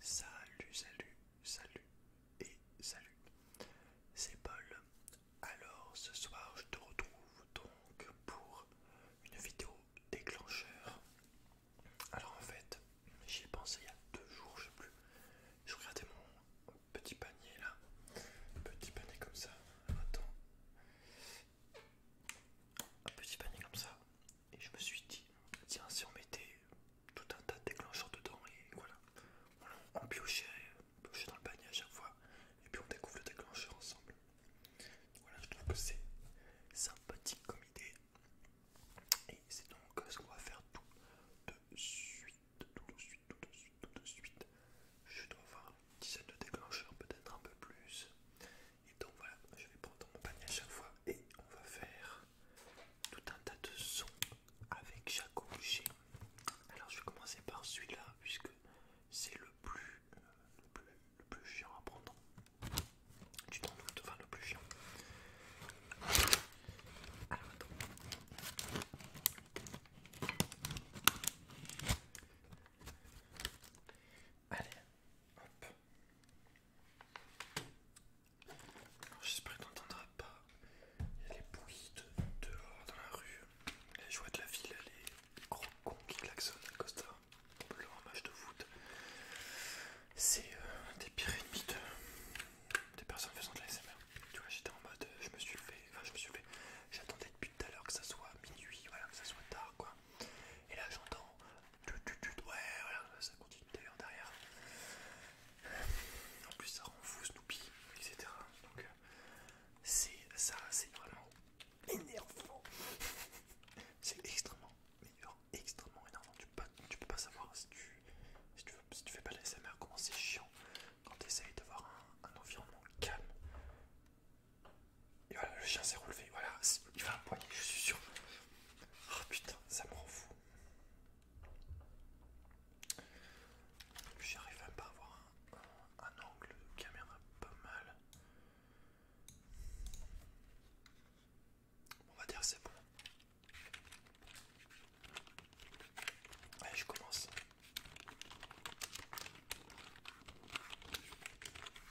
Salut, salut, salut et salut. C'est Paul. Alors ce soir je te retrouve donc pour une vidéo déclencheur. Alors en fait j'y ai pensé il y a deux jours je sais plus. Je regardais mon petit panier là. Petit panier comme ça. Attends. Un petit panier comme ça. Et je me suis dit, tiens, si on mettait tout un tas de déclencheurs dedans, et voilà, on piochait, piochait dans le panier à chaque fois, et puis on découvre le déclencheur ensemble. Voilà, je trouve que c'est sympathique comme idée. Et c'est donc ce qu'on va faire tout de suite, tout de suite, tout de suite, tout de suite. Je dois avoir une dizaine de déclencheurs, peut-être un peu plus. Et donc voilà, je vais prendre mon panier à chaque fois et on va faire tout un tas de sons avec chaque objet. Alors je vais commencer par celui-là puisque c'est le, le plus le plus chiant à prendre. Tu t'en enfin le plus chiant. Alors Allez, hop. J'espère qu'on n'entendra pas. les bruits dehors dans la rue. Les joies de la ville, les gros cons qui klaxonnent à Costa. de leur match de foot. C'est euh, un des pires ennemis des personnes faisant de l'ASMR. Tu vois, j'étais en mode, euh, je me suis levé, enfin je me suis levé. J'attendais depuis tout à l'heure que ça soit minuit, voilà, que ça soit tard quoi. Et là j'entends tu tu ouais voilà, ça continue d'ailleurs derrière. En plus ça rend fou Snoopy, etc. Donc euh, c'est ça, c'est vraiment énervant. C'est extrêmement, extrêmement énervant. Tu peux pas, peux pas savoir si tu, si tu, si tu fais pas de SMR comment c'est chiant quand tu essayes d'avoir un, environnement calme. Et voilà, le chien s'est relevé, voilà, il va un poignet, je suis sûr. Ah putain, ça me rend fou. J'arrive même pas à avoir un, angle de caméra pas mal. On va dire c'est bon. Allez, je commence.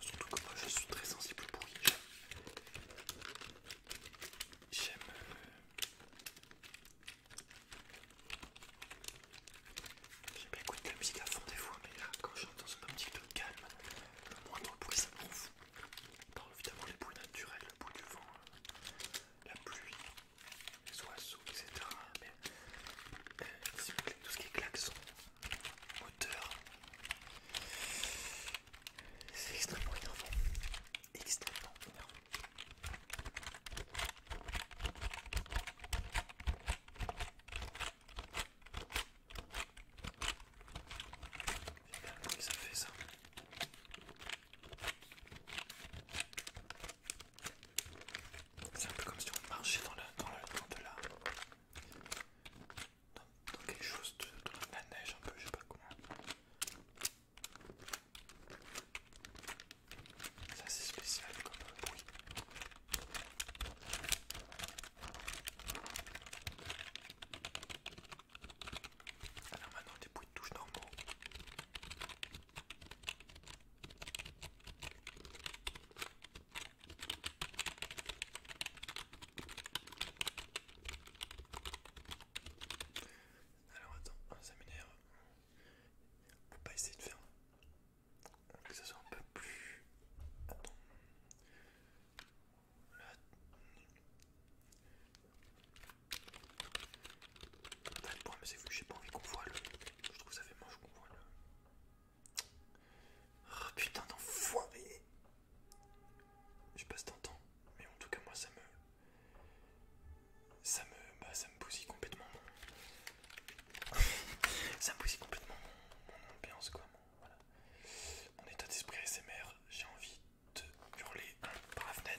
Surtout que moi je suis très sensible au bruit. J'aime. Euh, j'aime écouter la musique à fond des fois, mais là quand j'entends un petit peu de calme, le moindre bruit ça me fout. évidemment les bruits naturels, le bruit du vent, euh, la pluie, les oiseaux, etc. Mais euh, vous voulez, tout ce qui claque son moteur, c'est extrêmement énervant. Extrêmement énervant. J'aime bien ça fait ça. C'est un peu comme si on marchait dans, la, dans, le, de la... Dans, quelque chose de, la neige un peu, je sais pas comment. C'est assez spécial comme bruit. Alors maintenant des bruits de touche normaux. Alors attends, ça m'énerve. peut pas essayer de faire que ça soit un peu plus c'est j'ai pas envie qu'on voit le. Je trouve que ça fait moche qu'on voit le. Oh, putain d'enfoiré! Je sais pas si t'entends, mais en tout cas, moi ça me. Ça me. Bah, ça me bousille complètement mon. ça me bousille complètement mon, ambiance, quoi. Mon, voilà. mon état d'esprit SMR, j'ai envie de hurler par la fenêtre.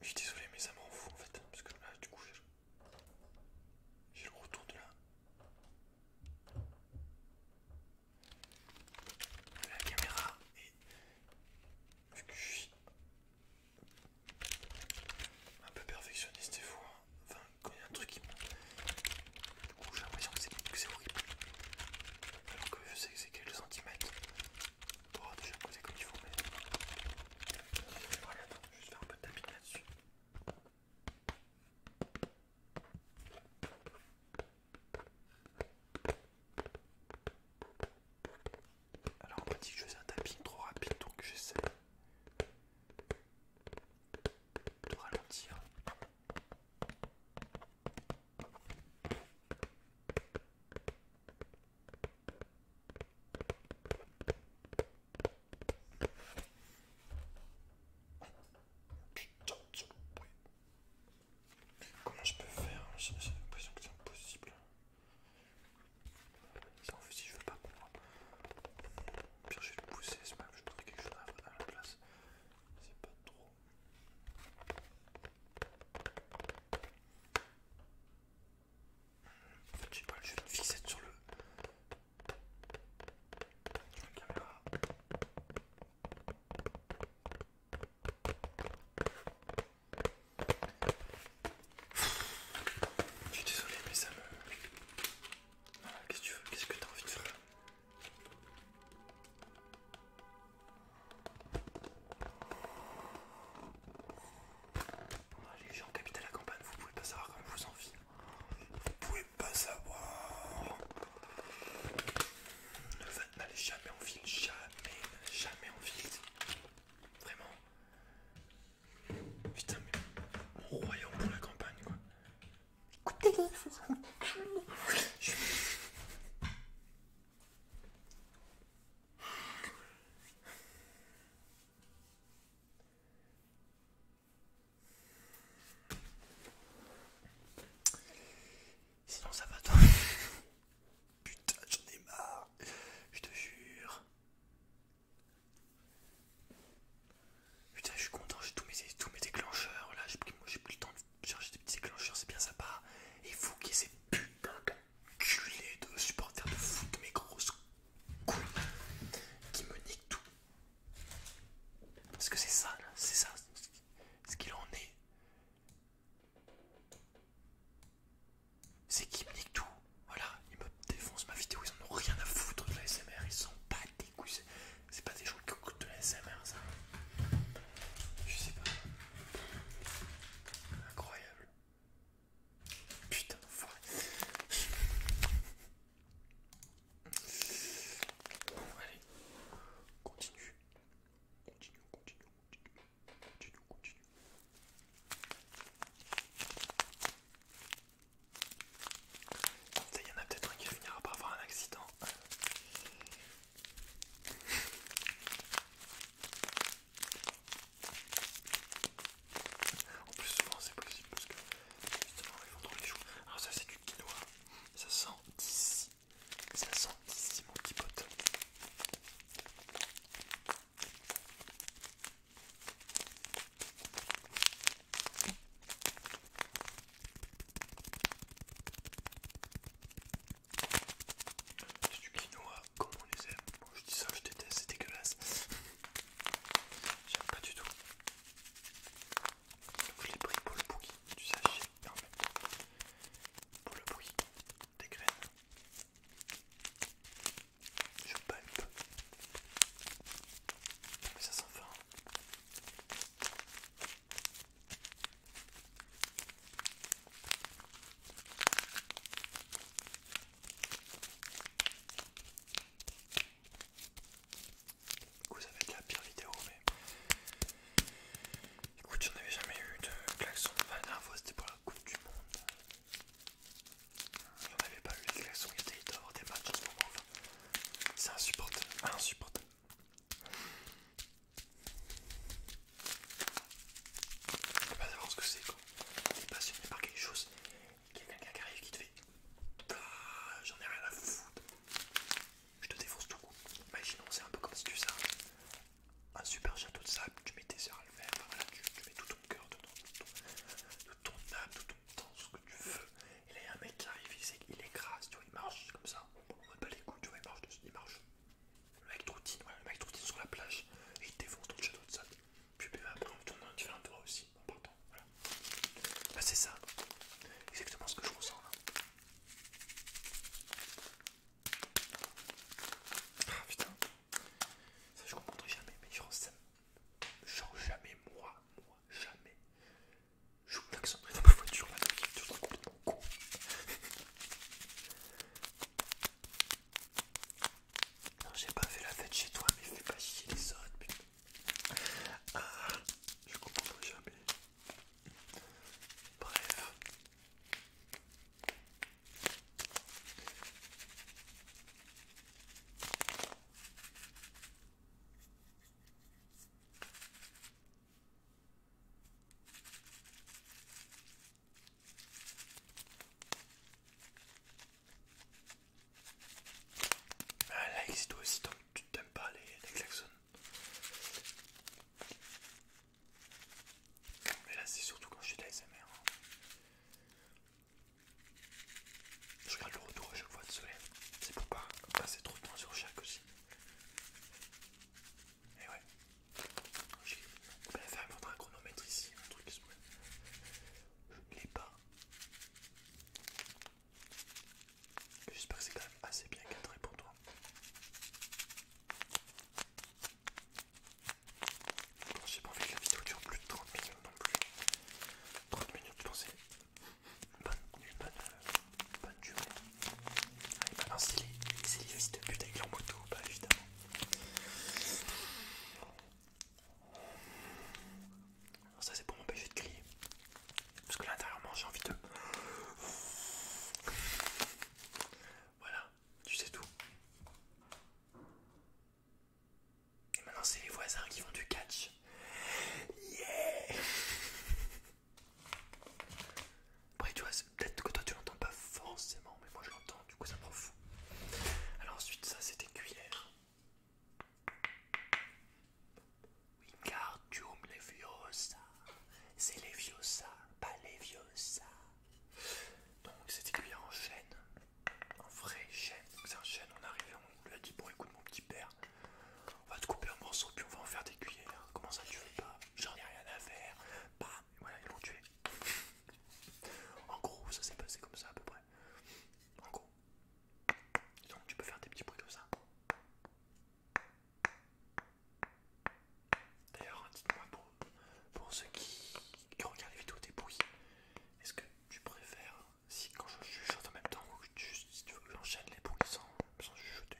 Je suis désolé, mais ça m'en fout en fait. Parce que là, du coup, j'ai le retour de là. la caméra. Et vu que je suis un peu perfectionniste des fois, enfin, quand il y a un truc qui me... Du coup, j'ai l'impression que c'est horrible. Alors que je sais que c'est quelques centimètres. Tu vas poser comme il faut, mais. attends, je vais faire un peu de tapping là-dessus. Alors, on m'a dit que je faisais un tapping trop rapide, donc j'essaie de ralentir. Putain, Comment je peux faire J'ai l'impression que c'est impossible. Ça en fait, si je veux pas au Pire, je vais le pousser, c'est pas que je mettre quelque chose à la place. C'est pas trop. Je fait, je pas le jeu sur le. la caméra. Je suis désolé, mais ça me. qu'est-ce que tu veux Qu'est-ce que tu as envie de faire ah, les gens qui à la campagne, vous pouvez pas savoir comme vous en Vous pouvez pas savoir. Ne n'allez jamais en ville, jamais, jamais en ville. Vraiment. Putain, mais mon royaume pour la campagne, quoi. Écoutez-les, vous... Sinon ça va toi Putain j'en ai marre, je te jure. Putain je suis content, j'ai tous mes, tous mes déclencheurs là, j'ai plus plus le temps de chercher des petits déclencheurs, c'est bien sympa. Et vous qui ces putains culés de supporters de foot, mes grosses couilles qui me niquent tout. Parce que c'est ça, c'est ça, ce qu'il en est. C'est qui me niquent tout. Voilà, ils me défoncent ma vidéo, ils en ont rien à foutre de la SMR, ils sont pas des couilles. C'est pas des gens qui coûtent de la SMR, ça. Je sais pas. Incroyable. Putain d'enfoiré. Bon, allez, continue. Continue, continue, continue. Continue, continue. Il y en a peut-être un qui par avoir un accident. En plus souvent c'est possible parce que justement ils vont trop les joues Alors ça c'est du quinoa, ça sent d'ici, ça sent d'ici mon petit pote. C'est du quinoa comme on les aime. je dis ça, je déteste, c'est dégueulasse. J'aime pas du tout. Donc je l'ai pris pour le bruit du sachet et en pour le bruit des graines. Je peu Mais ça sent fort. Du coup, ça va être la pire vidéo, mais écoute, j'en avais jamais eu de klaxon. Enfin, la fois, c'était pour la Coupe du Monde. J'en avais pas eu de klaxons, il y a des matchs en ce moment. c'est insupportable, insupportable. Je sais pas savoir ce que c'est quoi. T'es passionné par quelque chose. Quelqu'un qui arrive qui te fait. Bah, j'en ai rien à foutre. Je te défonce tout coup. Imaginons, c'est un peu comme si tu ça un, super château de sable. Tu mets tes heures à le faire. tu, mets tout ton cœur dedans, tout ton, âme, tout ton temps, ce que tu veux. Et là, il y a un mec qui arrive, il, il écrase, tu vois, il marche comme ça. On ne pas les coups, tu vois, il marche, il marche le mec troutine, ouais, le mec sur la plage et il défonce dans le château de Puis après on tourne dans un différent aussi en Voilà. Bah, c'est ça, exactement ce que je ressens là. Ah putain, ça je comprendrai jamais, mais je ressens. Genre jamais moi, moi, jamais. Je m'accenterai dans ma voiture là, je toujours trop non, j'ai pas fait la fête chez toi, mais fais pas chier les autres, putain. Ah, je comprends jamais. Bref. Un ah, si toi aussi tu t'aimes pas les, les klaxons. Mais là c'est surtout quand je suis de l'ASMR, hein. Je regarde le retour à chaque fois de soleil. C'est pour pas passer trop de temps sur chaque aussi. Et eh ouais, je vais faire mettre un chronomètre ici, un truc qui Je l'ai pas. J'espère que c'est quand même assez bien cadré pour toi. J'ai pas envie que la vidéo dure plus de 30 minutes non plus. 30 minutes, je bonne, bonne, euh, bonne durée. Ah, il les ses de pute avec leur moto, pas bah, évidemment. Alors ça c'est pour m'empêcher de crier. Parce que là intérieurement j'ai envie de... Voilà, tu sais tout. Et maintenant c'est les voisins qui font du catch. Yeah Après tu vois, peut-être que toi tu l'entends pas forcément, mais moi je l'entends, du coup ça me Alors ensuite ça c'est des cuillères. Wingardium Leviosa. C'est Leviosa, pas viosa Donc c'est des cuillères en chêne. En vrai chêne. C'est un chêne, on est arrivé, on lui a dit bon écoute mon petit père on va te couper un morceau puis on va en faire des cuillères. Comment ça tu veux pas J'en ai rien à faire. Bam Voilà, ils l'ont tué. En gros, ça s'est passé comme ça à peu près. En gros. Dis Donc tu peux faire des petits bruits comme ça. D'ailleurs, dites-moi pour, ceux qui, regardent les vidéos des bruits, est-ce que tu préfères, si quand je chuchote en même temps, ou si tu veux que j'enchaîne les bruits sans, sans chuchoter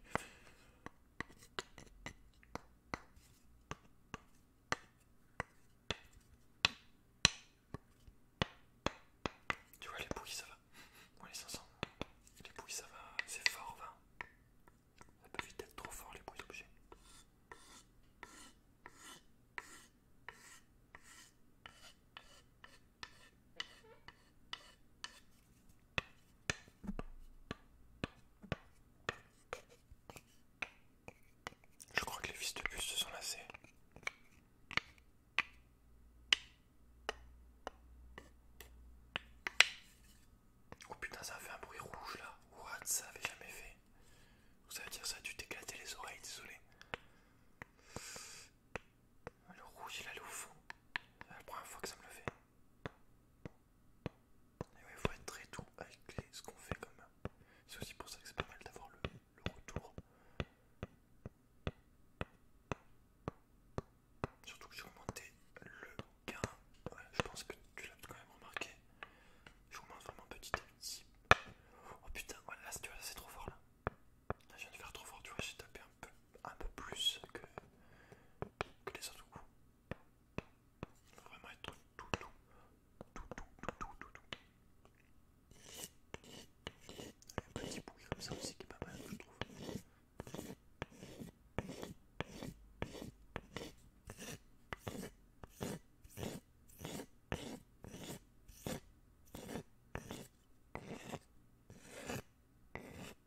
tu vois, les bouilles ça va. On les ensemble. Les bouilles ça va, c'est fort, va. Ça peut vite être trop fort, les bouilles d'objets. Je crois que les fils de bus se sont lassés. Oh putain, ça a fait un bruit rouge là. What, ça avait jamais fait. Ça veut dire ça a dû t'éclater les oreilles, désolé. Le rouge, il allait au fond. C'est la première fois que ça me le fait. Et faut être très doux avec ce qu'on fait comme. C'est aussi pour ça que c'est pas mal d'avoir le, retour. Surtout que j'ai augmenté le gain. je pense que tu l'as quand même remarqué. J'augmente vraiment petit à petit. Oh putain, voilà oh là c'est trop fort là. Là je viens de faire trop fort, tu vois, j'ai tapé un peu plus que, c'est les vraiment être tout doux, tout doux, tout doux, tout doux. Un petit bruit comme ça aussi qui est pas mal, je trouve.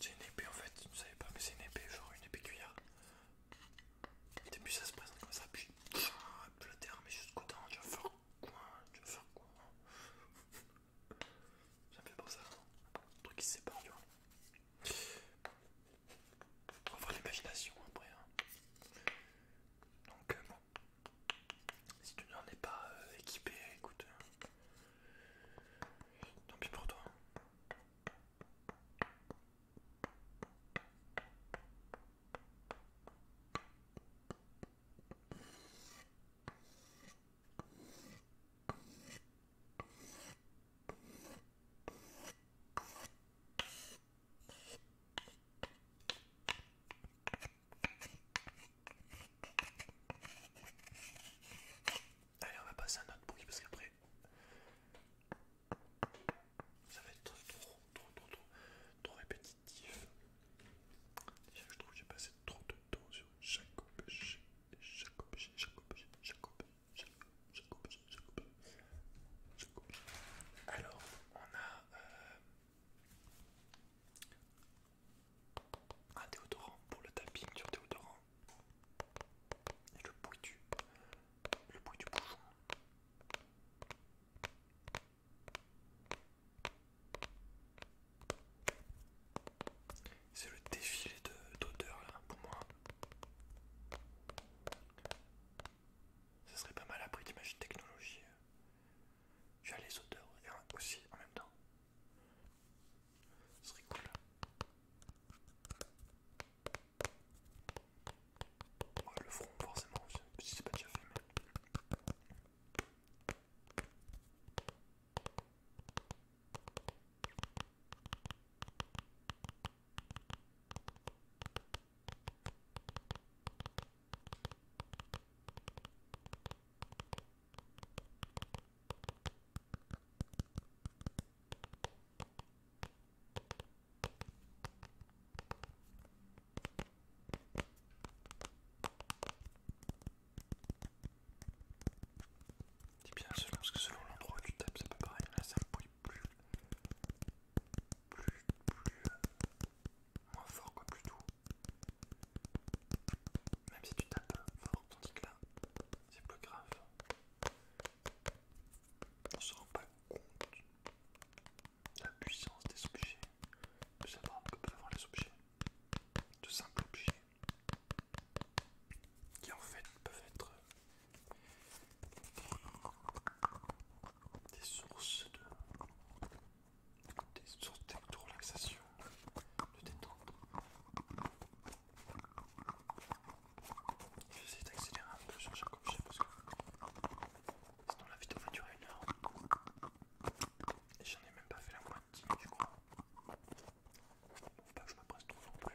C'est une épée en fait, vous ne savais pas, mais c'est une épée, genre une épée cuillère. Au début, ça se présente comme ça, puis la terre, mais jusqu'au temps, tu vas faire quoi Tu vas faire quoi Ça fait pas ça, un truc qui se sépare, tu vois. On va voir l'imagination après. Hein. Donc, euh, bon, si tu n'en es pas euh, équipé, écoute, euh, tant pis pour toi. Allez, on va passer à un autre bruit parce qu'après ça va être trop, trop, trop, trop, trop, Déjà, Je trouve que j'ai passé trop de temps sur chaque objet, chaque objet, chaque objet, chaque objet, chaque objet, chaque objet, chaque Alors, on a. Euh, un déodorant pour le tapping sur déodorant. Et le bruit du... Le du bouchon. C'est le défilé d'odeur pour moi. Ça serait pas mal appris d'imagine technologie j'ai les auteurs et aussi en même temps. Ce serait cool. le front, forcément, si c'est pas déjà fait, Dis bien selon, parce que selon l'endroit où tu tapes, c'est pas pareil. Là, c'est un bruit plus. plus. plus. Euh, moins fort, que plus doux. Même si tu tapes fort, tandis que là, c'est plus grave. On ne se rend pas compte de la puissance des objets, de savoir que peuvent avoir les objets, de simples objets, qui en fait peuvent être des sources de des sources de relaxation, de détente. Je vais essayer d'accélérer un peu sur chaque objet parce que sinon la vidéo va durer une heure. Et j'en ai même pas fait la moitié, je crois. Faut pas que je me presse trop non plus.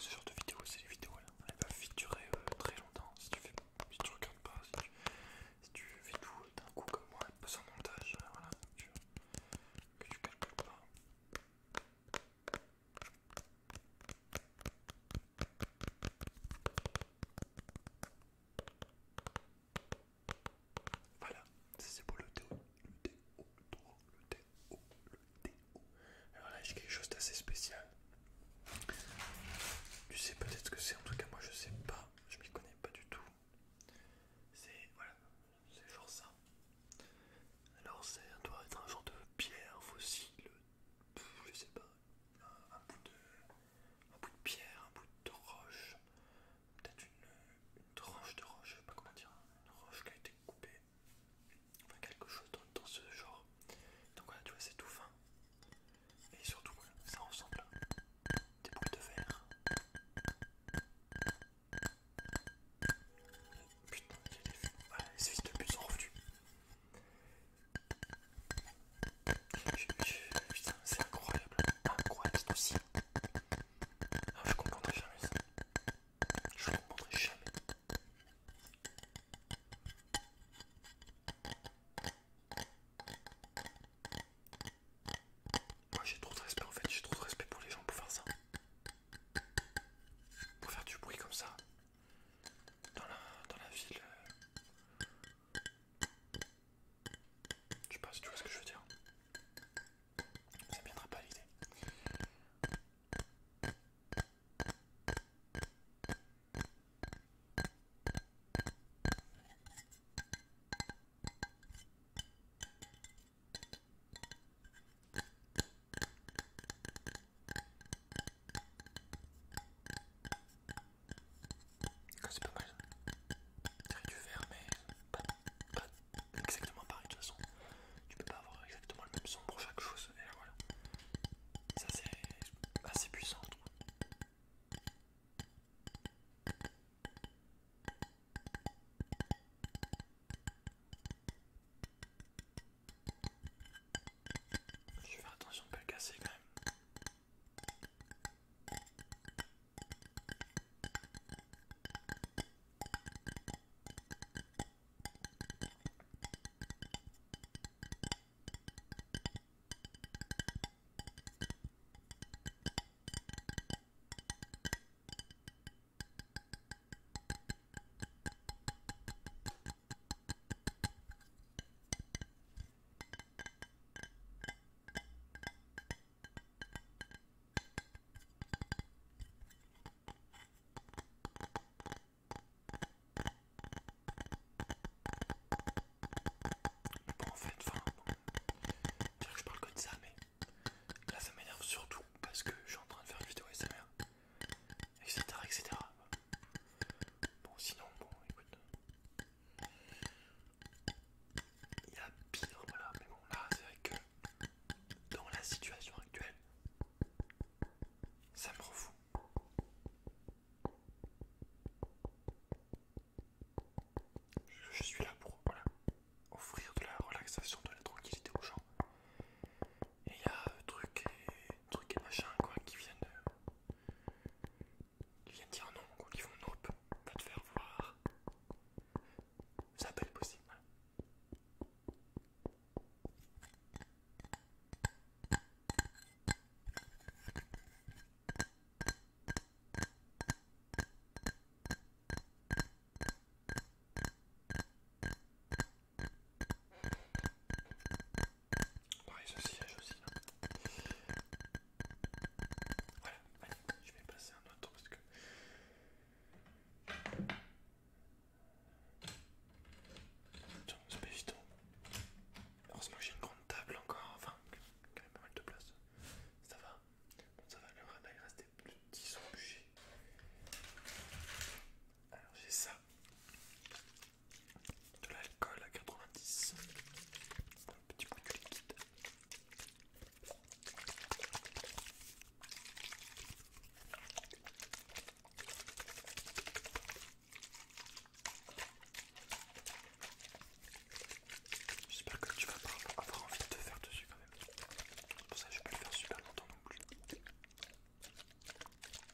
Ce genre de vidéo, c'est les vidéos, là. Hein. elles peuvent durer euh, très longtemps si tu fais, tu regardes pas, si tu, fais tout euh, d'un coup comme moi, pas sans montage, euh, voilà, tu, que tu calcules pas. Voilà, c'est pour le déo, le déo, le déo, le déo. Alors là, j'ai quelque chose d'assez spécial. Tu sais peut-être que c'est, en tout cas moi je sais pas, je m'y connais pas du tout. C'est, voilà, c'est genre ça. Alors ça doit être un genre de pierre fossile, je sais pas un, bout de, pierre, un bout de roche, peut-être une, tranche de roche, je ne sais pas comment dire, une roche qui a été coupée, enfin quelque chose dans, ce genre. Donc voilà, tu vois, c'est tout fin. Et surtout, ça ressemble à des boules de verre. Putain, il y a des fils de pute sont revenus. Putain, c'est incroyable, incroyable, c'est aussi. je ah, je comprendrai jamais ça. Je ne comprendrai jamais. Moi j'ai trop de respect en fait, j'ai trop de respect pour les gens pour faire ça. Pour faire du bruit comme ça dans la, dans la ville. Euh. Je sais pas si tu vois ce que je veux dire. Ça viendra pas l'idée. C'est pas mal. C'est du verre, mais pas, exactement pareil de toute façon. Tu peux pas avoir exactement le même son pour chaque chose. Et voilà. Ça, c'est assez puissant, je vais faire attention de ne pas le casser quand même bon, en fait, enfin, que je parle que de ça, mais là ça m'énerve surtout parce que je suis en train de faire une vidéo SMR, etc. etc. Bon, sinon, bon, écoute. Il y a pire, voilà, mais bon, là, c'est vrai que dans la situation actuelle, ça me refoue. Je, suis là pour, voilà, offrir de la relaxation, de la tranquillité aux gens. Et il y a des euh, trucs et, truc et machin quoi qui viennent, de euh, qui viennent dire non, quoi, qui vont nope, va te faire voir. Ça peut être possible. Hein. Pareil, ce siège aussi. Hein. Voilà, allez, je vais passer un autre parce que. Tiens, ça fait vite. Heureusement que j'ai une grande table encore, enfin, quand même pas mal de place. Ça va Bon, ça va, le radar il reste des petits objets. Alors j'ai ça de l'alcool à 90, un petit coup de liquide. J'espère que tu vas pas avoir envie de te faire dessus quand même. Pour ça, je vais pas le faire super longtemps non plus.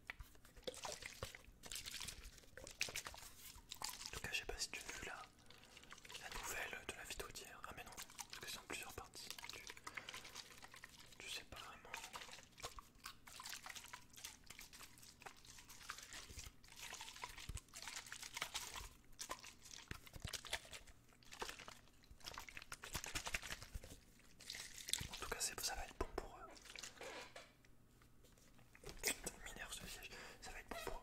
En tout cas, je sais pas si tu as vu la, nouvelle de la vidéo d'hier. Ah, mais non, parce que c'est en plusieurs parties. Tu, sais pas vraiment. En tout cas, ça va être bon pour, eux. Mineur ce siège, ça va être bon pour.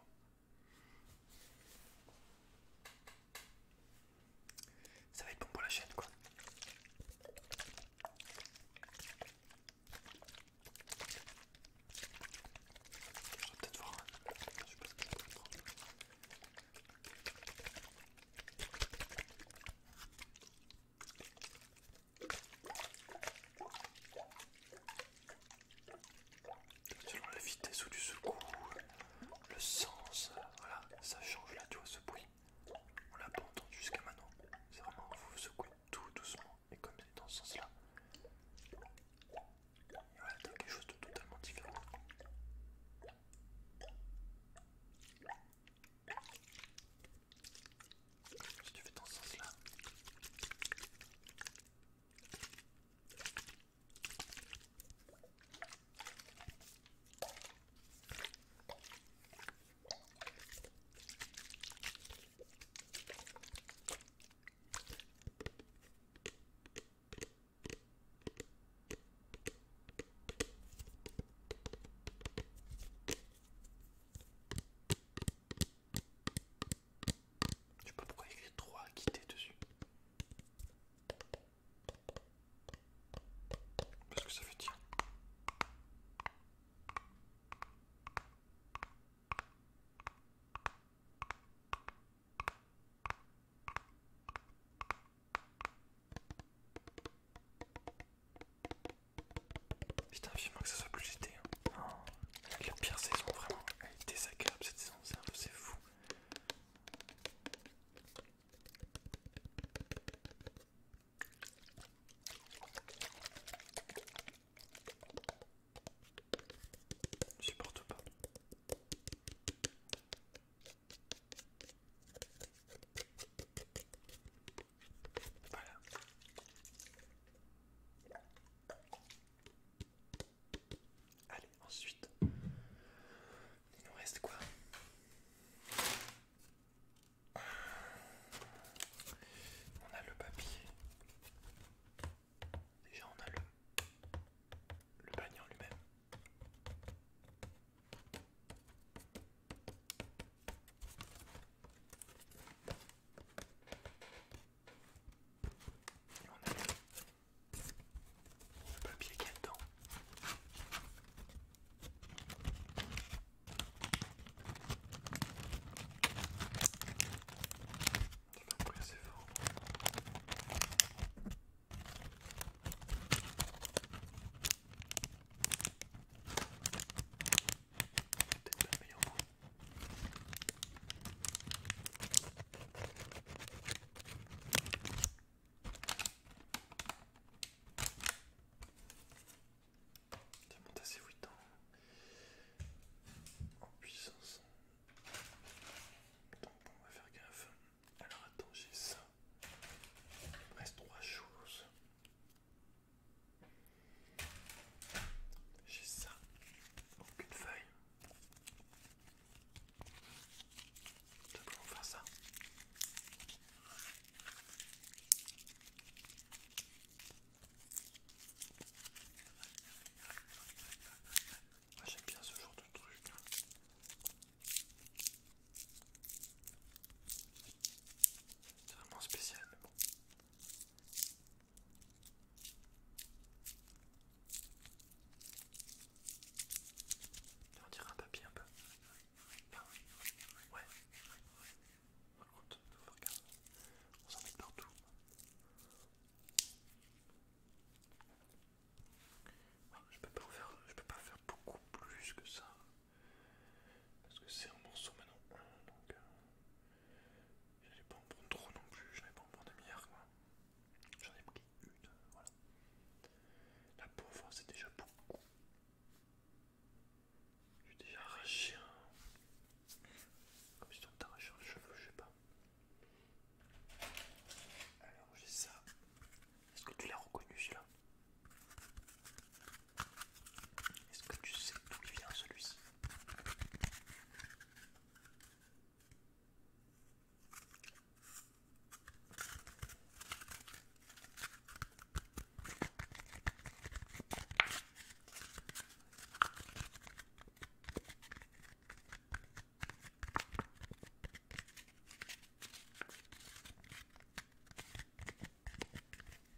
Ça va être pour la chaîne quoi. Selon la vitesse où tu secoues, le sens, voilà, ça change là, tu vois ce bruit. On l'a pas entendu jusqu'à maintenant. C'est vraiment, vous secouez tout doucement. Et comme c'est dans ce sens-là, voilà, t'as quelque chose de totalement différent. Si tu fais dans ce sens là. Je sais pas pourquoi il y a 3 à quitter dessus. Parce que ça fait tir. Putain, veux que ça soit plus jeté. Hein. Oh, la pire saison, vraiment. Elle est désagréable cette saison, c'est fou. Je supporte pas. Voilà. Allez, ensuite, il nous reste quoi On a le papier. Déjà, on a le, le panier lui-même. Et on a le papier qui est dedans. Peut-être pas le meilleur monte assez vite en, hein. en puissance. on va faire gaffe. Alors attends, j'ai ça. Il me reste trois choses. J'ai ça, donc une feuille. Ça, ça ah, J'aime bien ce genre de truc. C'est vraiment spécial, on dirait un papier un peu. Ouais. On s'en met partout. Je peux pas faire, je peux pas faire beaucoup plus que ça. Parce que c'est un morceau maintenant. Donc, euh, je n'allais pas en prendre trop non plus, n'allais pas en prendre des milliards quoi. J'en ai pris une, euh, voilà. La pauvre, hein, c'est déjà beaucoup. J'ai déjà arraché un. Comme si on t'arrachais un cheveu, je sais pas. Alors j'ai ça. Est-ce que tu l'as reconnu celui-là est-ce que tu sais d'où tu vient celui-ci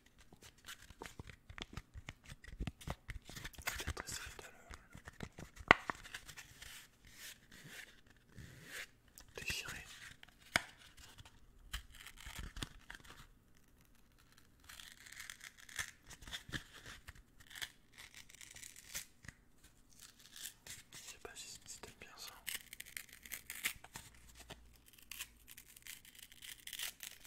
C'est Peut-être essayer de le déchirer. Je sais pas si c'était bien ça.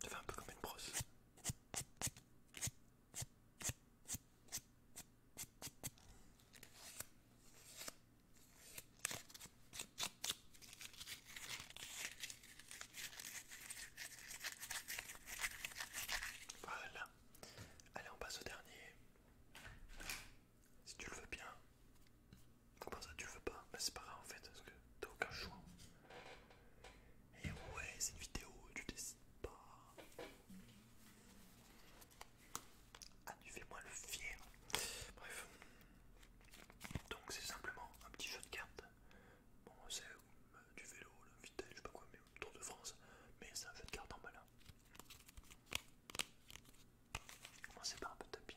Ça fait un peu comme une brosse. Voilà. Allez, on passe au dernier. Si tu le veux bien. Comment ça, tu le veux pas Mais c'est pas grave en fait, parce que t'as aucun choix. Et ouais, c'est une vidéo, tu décides pas. Ah, tu fais moi le fier. Bref. Donc c'est simplement un petit jeu de cartes. Bon, c'est euh, du vélo, le vitesse, je sais pas quoi, mais Tour de France. Mais c'est un jeu de cartes en balin. Hein. Commencez par un peu de tapping.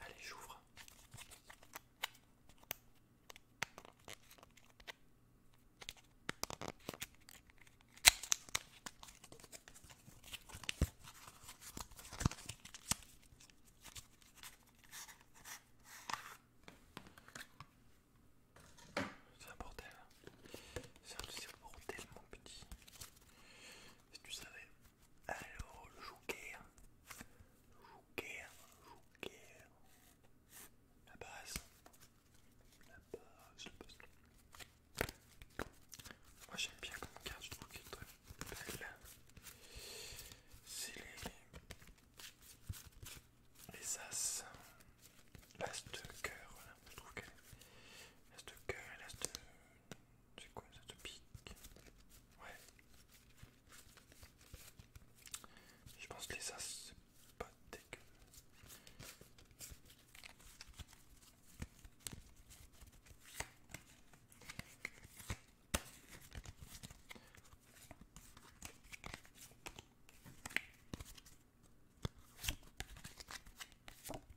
Allez, j'ouvre. C'est un bordel, hein. c'est un bordel mon petit. Si tu savais. Alors, Joker, Joker, Joker, la base, la base, la base. Moi j'aime bien comme carte, je trouve qu'elle est très belle. C'est les... les As, l'As de cœur, voilà. je trouve que... l'As de cœur et l'As de c'est quoi ça te pique Ouais. Je pense que les as, c'est pas dégueu.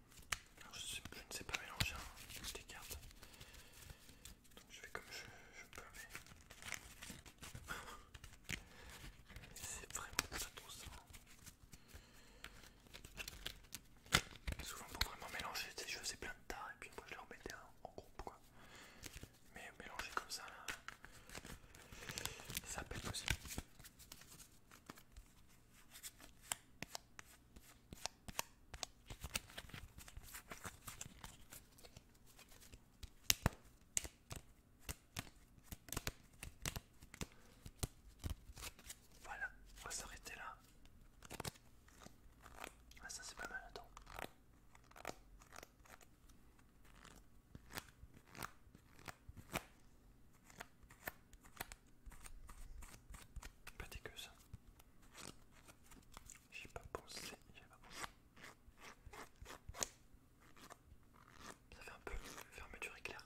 je, ne sais pas mélanger hein, les cartes. Donc je fais comme je, peux mais... C'est vraiment pas trop ça. Hein. Souvent pour vraiment mélanger je je plein de tas et puis moi je les remettais en groupe quoi. Mais mélanger comme ça ça peut être possible. Voilà, on va s'arrêter là. Ah ça c'est pas mal, attends. Pas dégueu ça. J'ai pas pensé, j'ai pas pensé. Ça fait un peu fermeture éclair.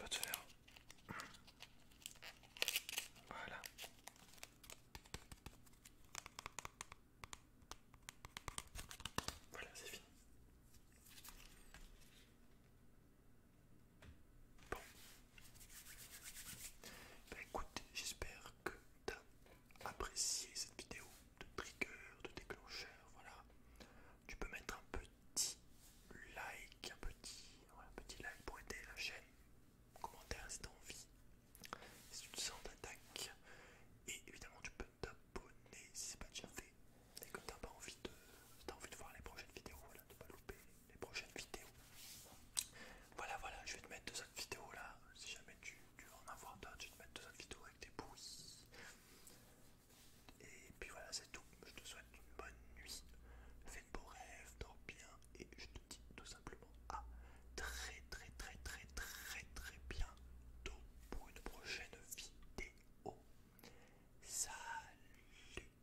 Va te faire. Voilà. Voilà, c'est fini. Bon. bah écoute, j'espère que tu as apprécié cette vidéo de trigger, de déclencheur, voilà. Tu peux mettre un petit like, un petit, un petit like pour aider la chaîne, commentaire si as envie, si tu te sens d'attaque. Et évidemment tu peux t'abonner si c'est pas déjà fait. Et que as pas envie de. t'as envie de voir les prochaines vidéos, voilà, de pas louper les prochaines vidéos. Voilà, voilà, je vais te mettre deux autres vidéos là. Si jamais tu, veux en avoir d'autres, je vais te mettre deux autres vidéos avec des bruits. Et puis voilà, c'est tout. Je te souhaite une bonne nuit. Fais de beaux rêves, dors bien. Et je te dis tout simplement à très, très, très, très, très, très bientôt pour une prochaine vidéo. Salut